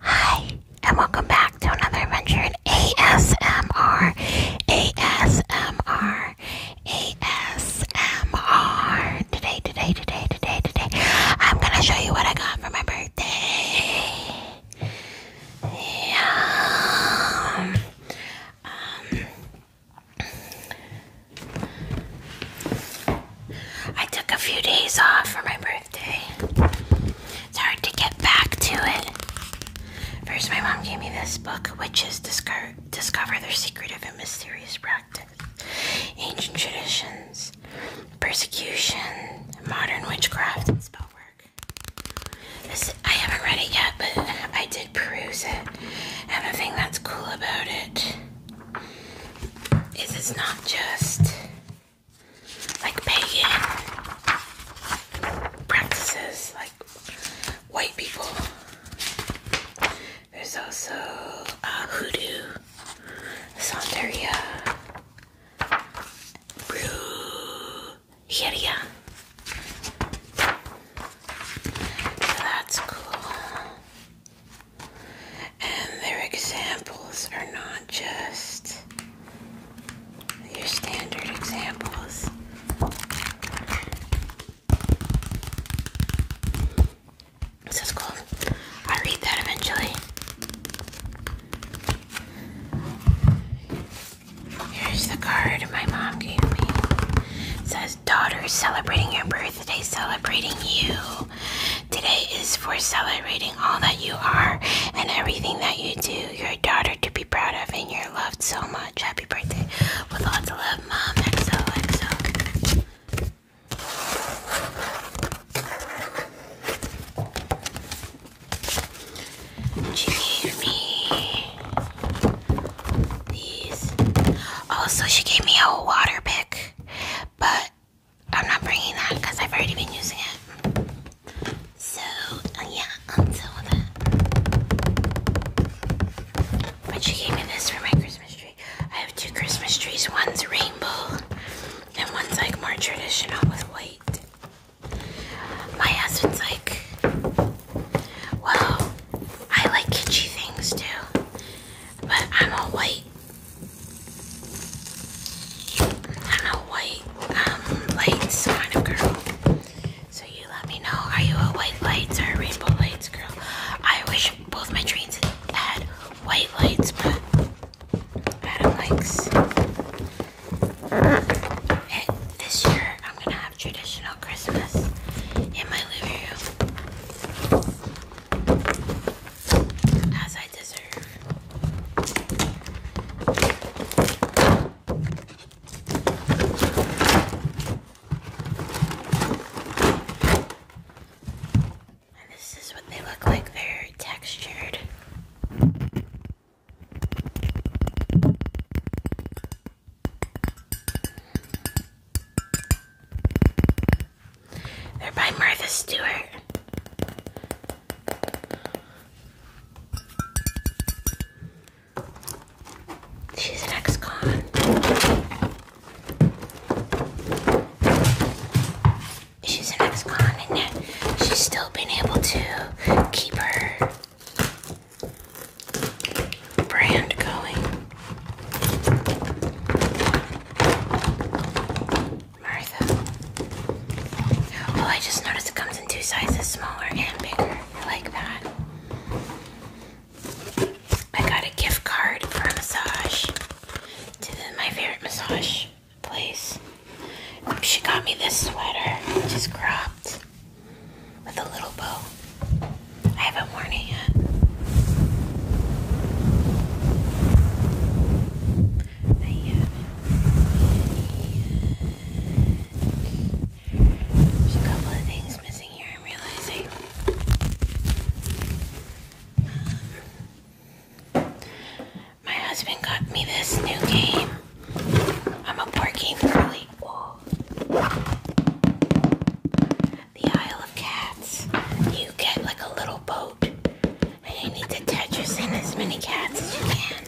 Hi, and welcome back to another adventure in ASMR. ASMR. ASMR. Today, today, today, today, today, I'm gonna show you what I got for my birthday. Yeah. Um, I took a few days off for my birthday. It's hard to get back to it. First, my mom gave me this book, Witches Disco Discover Their Secretive and Mysterious Practice, Ancient Traditions, Persecution, Modern Witchcraft, and Spellwork. This, I haven't read it yet, but I did peruse it. And the thing that's cool about it is it's not just like pagan practices, like white people. There's also uh, hoodoo, santeria, brujeria. So that's cool. And their examples are not just your standard examples. This is cool. I read that eventually. Here's the card my mom gave me. says, Daughter celebrating your birthday, celebrating you. Today is for celebrating all that you are and everything that you do. Your daughter to be proud of and you're loved so much. Happy birthday. With lots of love, Mom. XO, She gave me these. Also, she gave me a water pick, but I'm not bringing that because I've already been using it. So, uh, yeah, until um, that. Uh, but she gave me this for my Christmas tree. I have two Christmas trees. One's rainbow, and one's like more traditional with white. My husband's like, well, I like kitschy things too, but I'm a white I'm a white um, lights kind of girl. So you let me know. Are you a white lights or rainbow lights girl? I wish both my trains had white lights, but Adam likes This year I'm gonna have traditional Christmas in my living room as I deserve. this is what they look like, they're textured. They're by Martha Stewart. She's an ex-con. She's an ex-con and she's still been able to keep her brand going. Martha. Oh, I just noticed it comes in two sizes, smaller and bigger. I like that. I got a gift card for a massage to my favorite massage place. She got me this sweater, which cropped with a little bow. I haven't worn it yet. There's a couple of things missing here, I'm realizing. my husband got me this new game. I'm a board game really The Isle of Cats. You get like a little boat and you need to Tetris in as many cats as you can.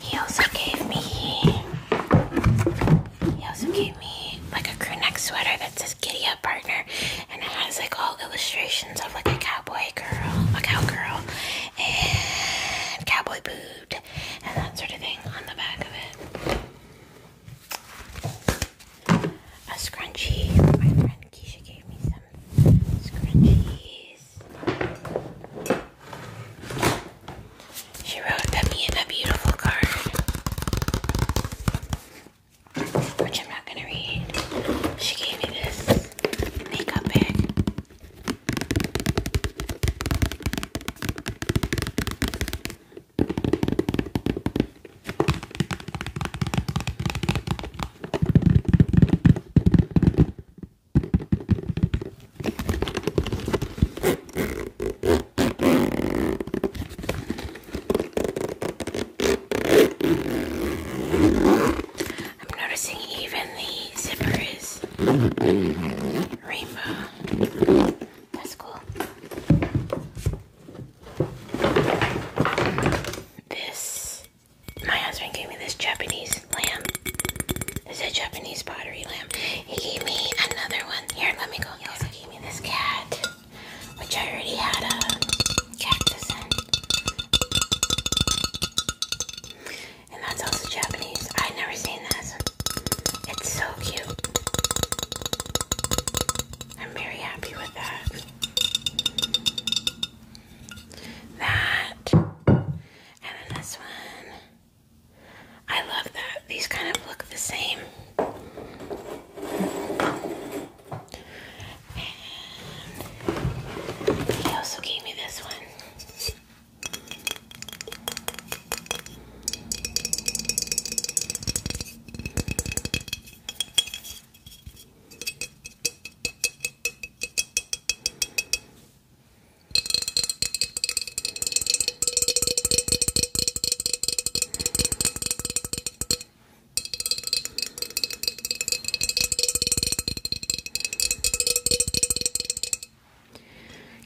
He also gave me he also gave me like a crew sweater that says Partner, and it has like all illustrations of like a cowboy girl, a cowgirl, and cowboy boot, and that sort of thing on the back of it. A scrunchie. My friend Keisha gave me some scrunchies. She wrote, "That me in a beautiful card." which I'm not gonna read. She gave me this makeup bag. I'm noticing even the zipper is rainbow. That's cool. This, my husband gave me this Japanese lamb. This is a Japanese pottery lamb. He gave me another one. Here, let me go. He also gave me this cat which I already had a cactus in. And that's also Japanese. i have never seen this. It's so cute. I'm very happy with that. That. And then this one. I love that. These kind of look the same he also gave me this one.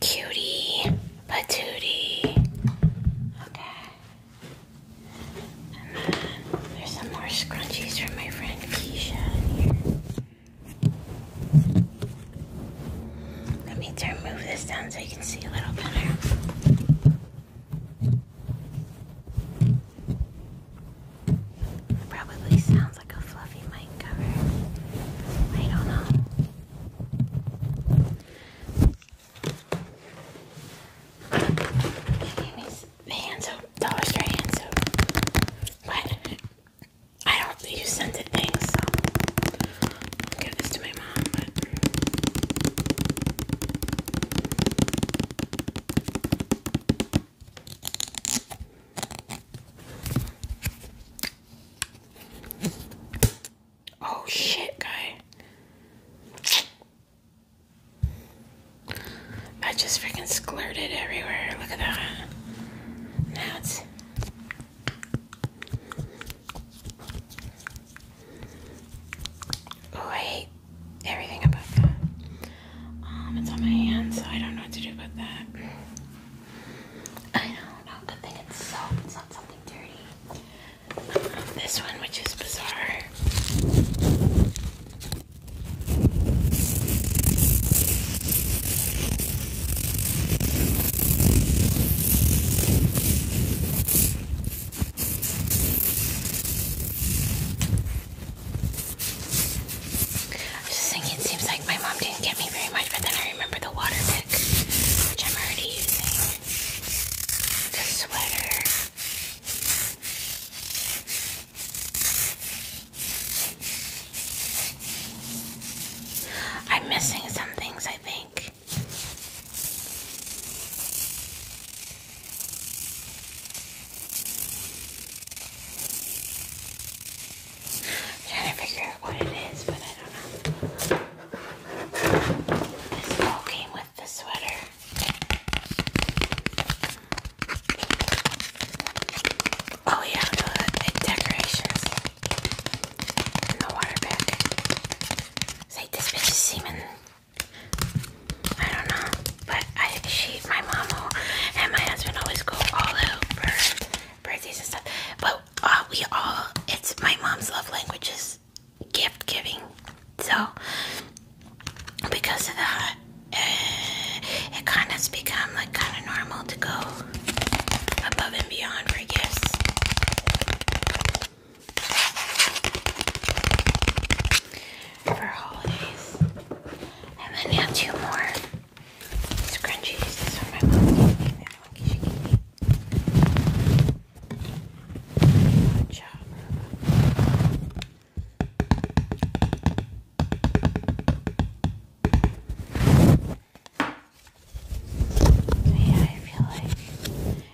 Cutie, patootie. Okay. And then there's some more scrunchies from my friend Keisha in here. Let me turn move this down so you can see a little better. It probably sounds like a fluffy mic cover. I don't know. Anyways, the hand soap, Dollar Store hand soap. But I don't use scented things, so give this to my Oh shit, guy. I just freaking squirted everywhere. Look at that. Now Oh, I hate everything about that. Um, it's on my hand, so I don't know what to do about that. I don't Good thing it's soap. It's not something dirty. Um, this one, which is bizarre. I was just thinking, seems like my mom didn't get me very much, but then I remember the water pick, which I'm already using. The sweater. I'm missing some things, I think trying to figure out what it is, but I don't know. This all came with the sweater. Oh yeah, the decorations. And water bag. It's this bitch is semen. I don't know, but I she, my mom, and my husband always go all out for birthdays and stuff. But uh, we all, it's my mom's love language is gift giving. So because of that, eh, it kind of's become like kind of normal to go above and beyond for gifts for holidays. And then you have two more scrunchies. This one my mom gave me. The one she gave me. yeah, I feel like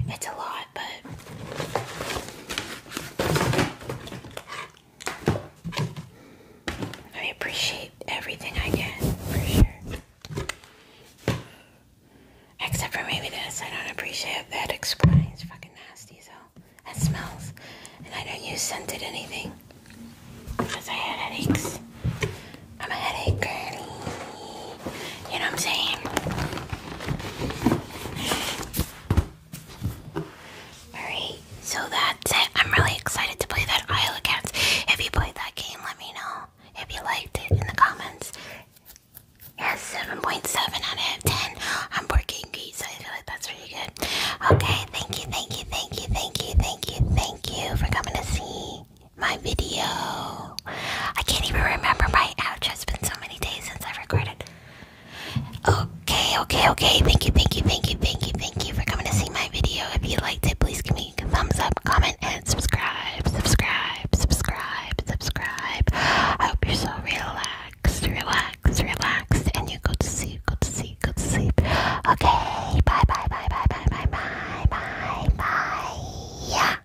it's a lot, but I appreciate everything I get for sure. Except for maybe this, I don't appreciate that. Explains it's fucking nasty, so that smells. And I don't use scented anything because I have headaches. I'm a headache girlie. You know what I'm saying? Alright, so that's it. I'm really excited to play that Isle of Cats. If you played that game, let me know if you liked it in the comments. Yes, 7.7 out of 10. I'm working great, so I feel like that's really good. Okay, thank you, thank you, thank you, thank you, thank you, thank you for coming to see my video. I can't even remember my outro. It's been so many days since I've recorded. Okay, okay, okay. Thank you, thank you, thank you, thank you, thank you for coming to see my video. If you liked it, please give me a thumbs up, comment, and subscribe. Subscribe, subscribe, subscribe. I hope you're so relaxed, relaxed, relaxed, and you go to sleep, go to sleep, go to sleep. Okay, bye, bye, bye, bye, bye, bye, bye, bye, bye. Yeah.